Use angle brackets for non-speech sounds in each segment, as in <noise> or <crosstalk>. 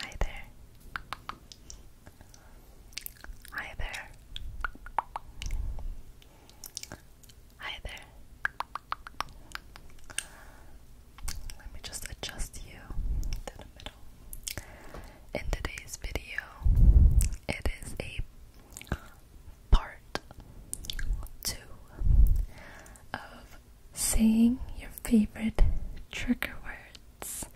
Hi there. Hi there. Hi there. Let me just adjust you to the middle. In today's video, it is a part two of saying your favorite trigger words.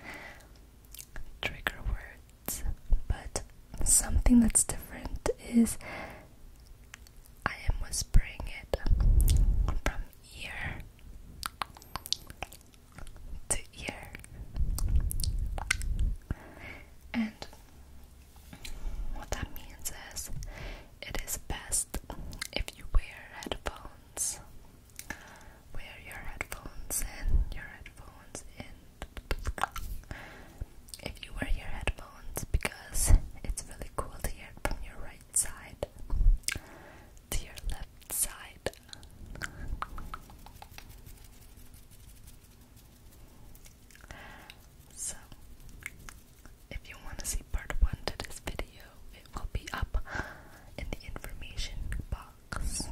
Trigger words. But something that's different is I am whispering it from ear to ear. And what that means is it is best if you wear headphones headphones. Wear your headphones and your headphones and If you wear your headphones, because it's really cool to hear from your right side to your left side. So, if you want to see part one to this video, it will be up in the information box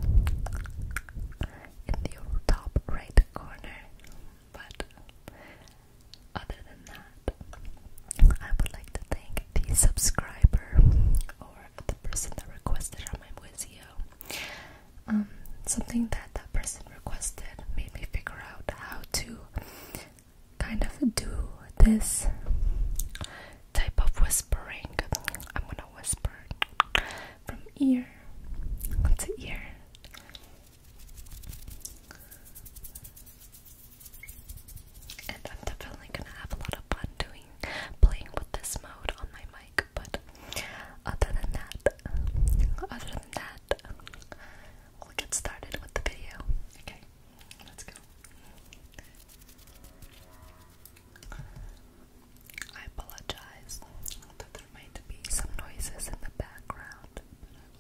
in the top right corner. But other than that, I would like to thank the subscriber or the person that requested on my Wizio. Um, something that that person requested made me figure out how to kind of do this type of whispering. I'm gonna whisper from ear to ear. And I'm definitely gonna have a lot of fun doing playing with this mode on my mic, but other than that, other than that, we'll get started with the video. Okay. Let's go. I apologize that there might be some noises in the background,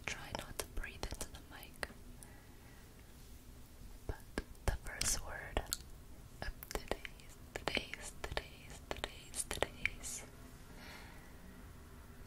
try not to breathe into the mic. But the first word of today's, today's, today's, today's, today's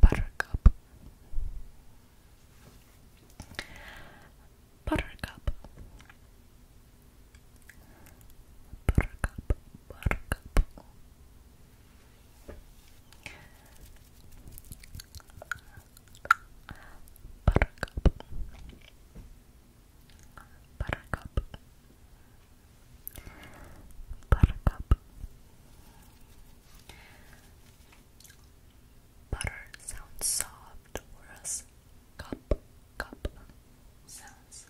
Buttercup Buttercup Buttercup Buttercup Buttercup Buttercup Buttercup Butter sounds soft, whereas cup, cup sounds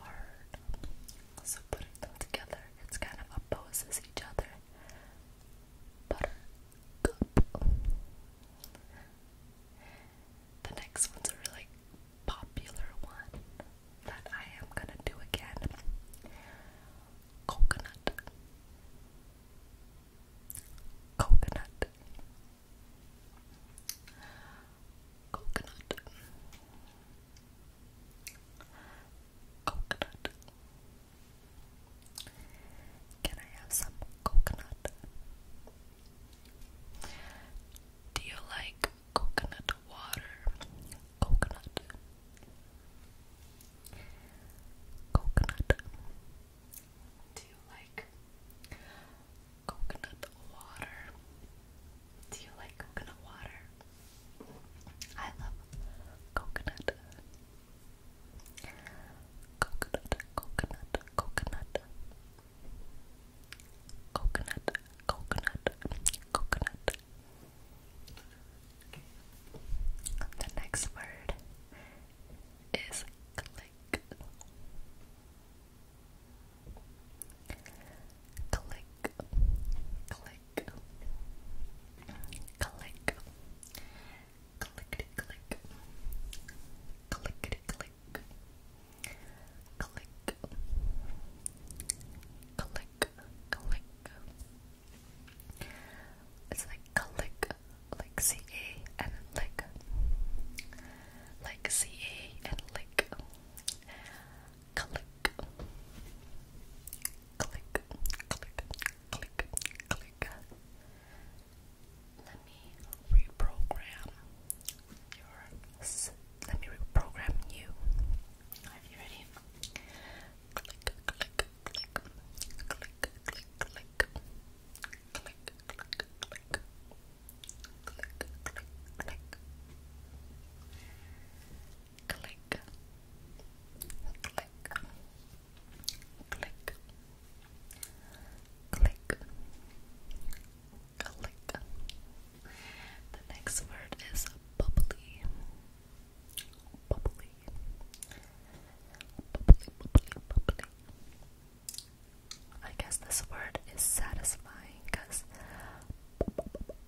hard. So putting them together, it's kind of opposes each other. Butter The next one's a really popular one that I am gonna do again. Coconut. Coconut. Coconut. Coconut. Can I have some coconut? Do you like coconut water? Coconut. Coconut. Do you like coconut water? Do you like coconut water? I love coconut. Coconut, coconut, coconut. Coconut, coconut, coconut, the next word is click. Click, click, click, click, click, click, click, click, click, click. It's like click, like C A and lick, like C A and lick, click, click, click, click, click. Let me reprogram your. Let me reprogram you. Are you ready? Click, click, click, click, click, click, click, click, click. Click, click, click. Click. Click. Click. Click. Click. The next word is bubbly. Bubbly. Bubbly, bubbly, I guess this word is satisfying because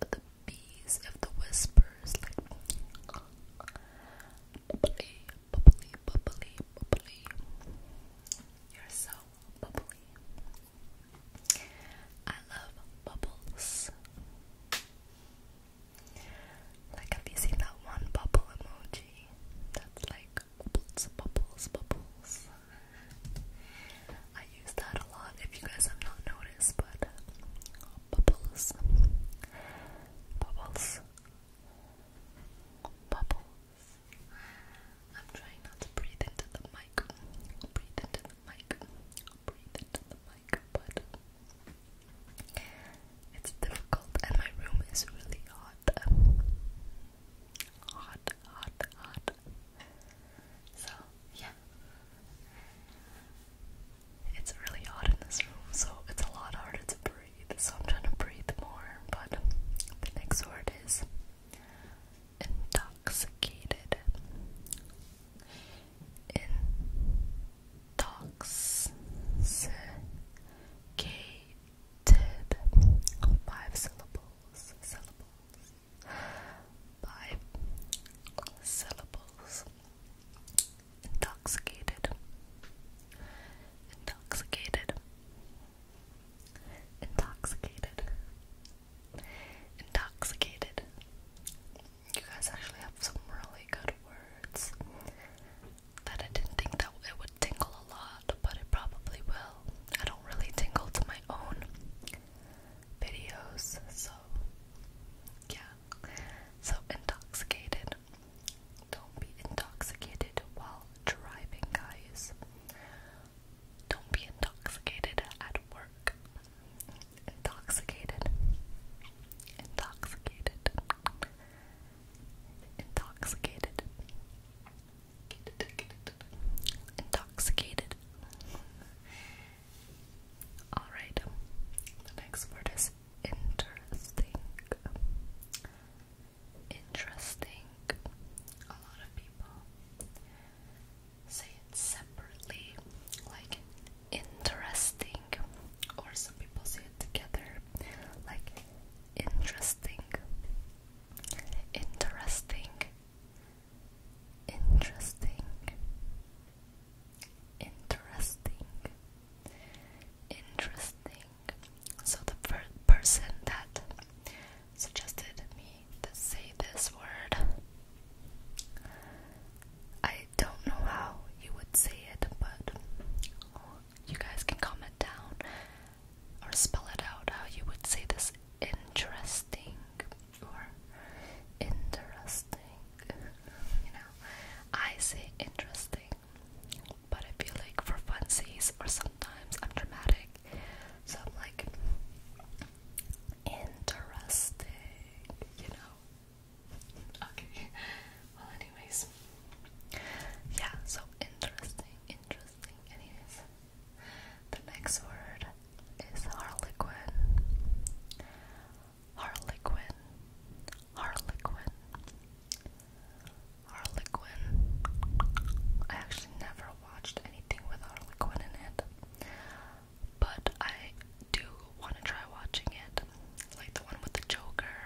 the bees of the whispers bubbly, bubbly, bubbly, bubbly. You're so bubbly. I love bubbles. Like, have you seen that one bubble emoji? That's like bubbles, bubbles, bubbles. I use that a lot if you guys have not noticed, but bubbles, bubbles, bubbles. I'm trying not to breathe into the mic. Breathe into the mic. Breathe into the mic, but it's difficult and my room is really hot. Hot, hot, hot. So, yeah. It's really hot in this room, so it's a lot harder to breathe. So I'm trying to breathe more, but the next word is Intoxicated. Intoxicated. Five syllables. Syllables. Five syllables. Intoxicated. Intoxicated. Intoxicated. Intoxicated. You guys actually have some really good words that I didn't think that it would tingle a lot, but it probably will. I don't really tingle to my own videos, so yeah. So intoxicated. Don't be intoxicated while driving, guys. Don't be intoxicated at work. Intoxicated. Intoxicated. Intoxicated. Intoxicated. Alright, the next word is interesting. Interesting. A lot of people say it separately, like interesting, or some people say it together, like interesting, interesting, interesting, interesting, interesting. So the first person that suggested me to say this word. I don't know how you would say it, but you guys can comment down or spell it out how you would say this interesting or interesting. You know, I say interesting, but I feel like for funsies or sometimes I'm dramatic, so I'm like, interesting, you know? Okay, well, anyways, yeah, so interesting, interesting. Anyways, the next word is harlequin, harlequin, harlequin. Harlequin. I actually never watched anything with Quinn in it, but I do want to try watching it, like the one with the Joker,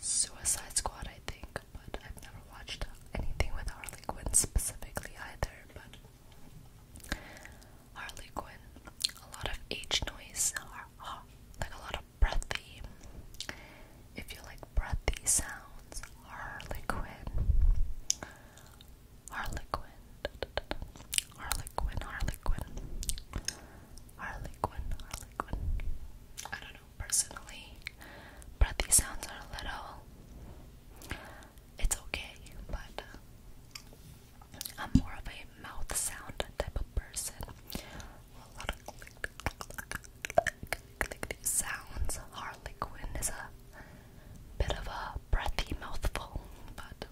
Suicide Squad, I think. But I've never watched anything with Harley Quinn specifically either. But Harley Quinn, a lot of H noise, like a lot of breathy. If you like breathy sounds. Harlequin. Harlequin. Harlequin, Harlequin. Harlequin, Harlequin. I don't know, personally, breathy sounds are a little. It's okay, but uh, I'm more of a mouth sound type of person sounds. Harlequin is a bit of a breathy mouthful, but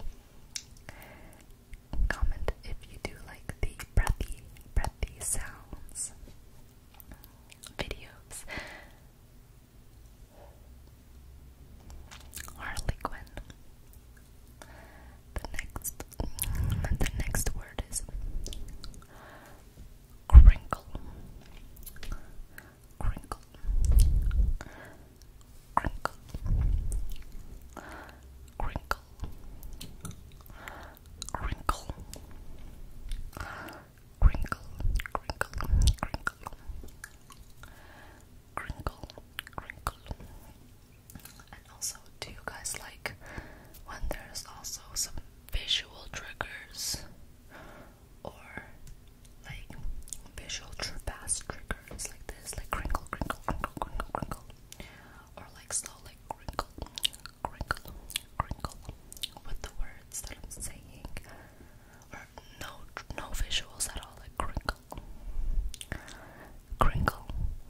comment if you do like the breathy, breathy sounds videos. Harlequin. The next, the next word is crinkle, crinkle, crinkle, crinkle, crinkle, crinkle, crinkle, crinkle. Crinkle, crinkle. And also, do you guys like when there's also some visual triggers or like visual fast triggers like this, like crinkle, crinkle, crinkle, crinkle, crinkle, or like slow, crinkle, crinkle, crinkle with the words that I'm saying, or no, no visuals at all, like crinkle, crinkle,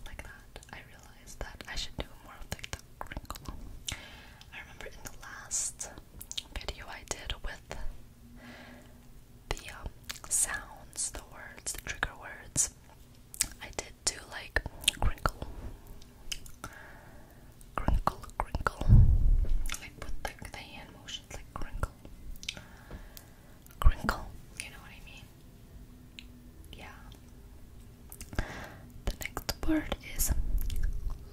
like that that I should do more of like the crinkle. I remember in the last video I did with the um, sounds, the words, the trigger words, I did do like crinkle, crinkle, crinkle, like with like the hand motions, like crinkle, crinkle. You know what I mean? Yeah. The next word is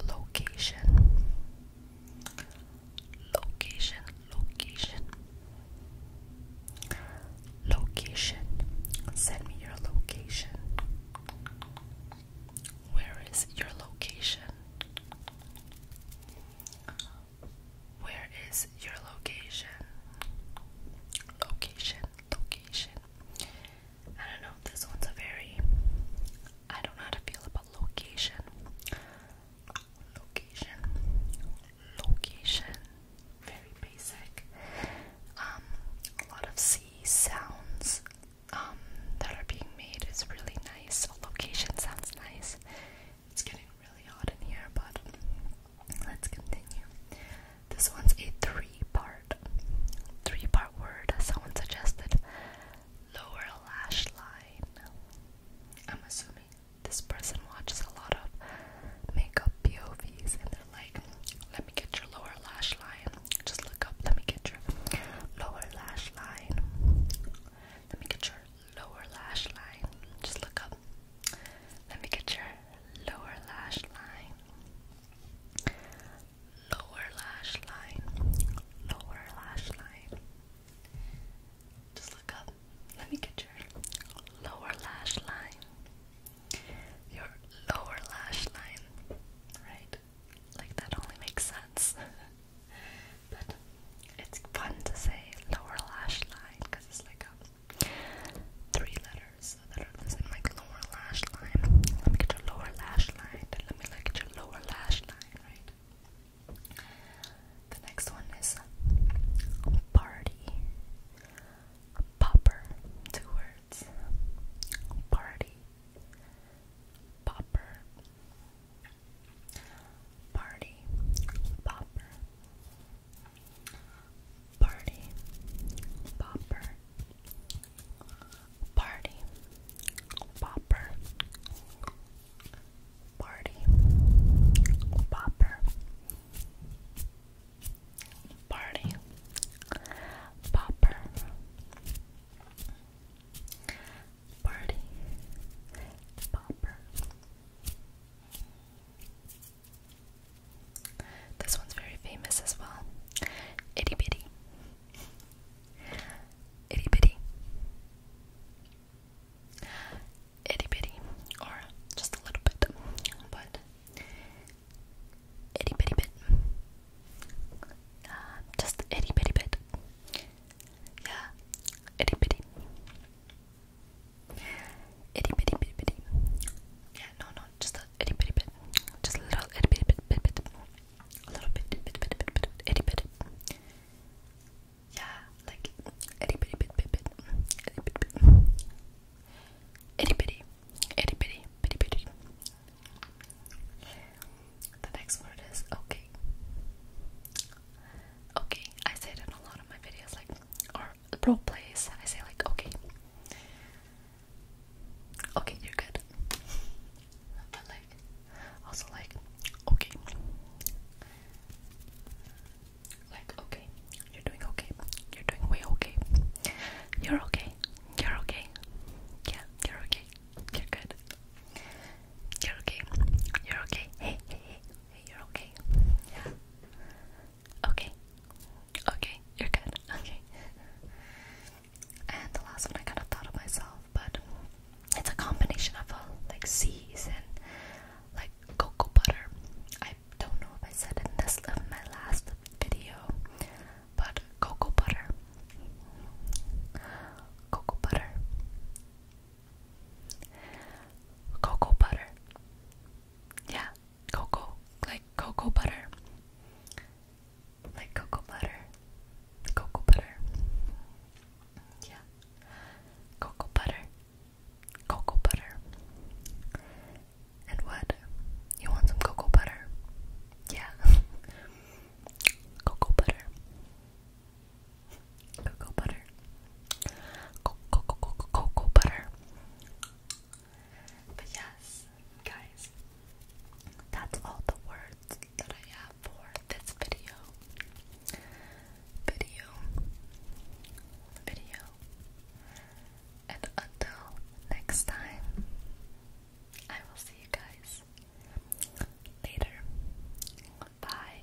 location. Location, location. Location. Send me your location. Where is your location? Where is your location? Location, location. I don't know. This one's a very. I don't know how to feel about location. Location. Location. Very basic. Um, a lot of sea sounds um, that are being made is really nice. Location sounds nice. It's getting really hot in here, but let's continue. This one's a three-part, three-part word. Someone suggested lower lash line. I'm assuming this person watches a lot of makeup POVs, and they're like, "Let me get your lower lash line. Just look up. Let me get your lower lash line. Let me get your lower lash line. Just look up. Let me get your lower lash line." lower lash line, lower lash line. Just look up. Let me get your lower lash line. Your lower lash line, right? Like that only makes sense. <laughs> but it's fun to say lower lash line because it's like a Three letters that are in like lower lash line. Let me get your lower lash line. Let me look at your lower lash line, right? The next one is party. Popper. Two words. Party. Popper. Party. Popper. Party Popper Party Popper Party Popper Party Popper Party Popper this one's very famous as well. Itty bitty. Itty bitty. Itty bitty. Or just a little bit. But itty bitty bit. Uh, just itty bitty bit. Yeah. Itty bitty. Itty bitty bitty bitty. Yeah, no, no, just a itty bitty bit. Just a little itty bitty bit bit bit. A little bit bit bit bit bit bit itty bitty. Yeah, like itty bitty bit bit bit. Itty bitty bit. Itty bitty. Itty bitty bitty bitty. The next word is okay. Okay, I say it in a lot of my videos, like, or Pro plays I say like okay okay you're good but like also like okay like okay you're doing okay you're doing way okay you're okay you're okay yeah you're okay you're good you're okay you're okay hey hey, hey you're okay yeah Okay. Okay, you're good. <laughs> Okay. and the last one I kind of thought of myself, but it's a combination of uh, like seas and like cocoa butter. I don't know if I said in this my last video, but cocoa butter, cocoa butter, cocoa butter. Yeah, cocoa, like cocoa butter, like cocoa butter, cocoa butter, yeah, cocoa butter, cocoa butter, and what? You want some cocoa butter? Yeah, cocoa butter, cocoa butter, cocoa, cocoa, cocoa butter. But yes, guys, that's all the words that I have for this video. Video. Video. And until next time, I will see you guys later. Bye.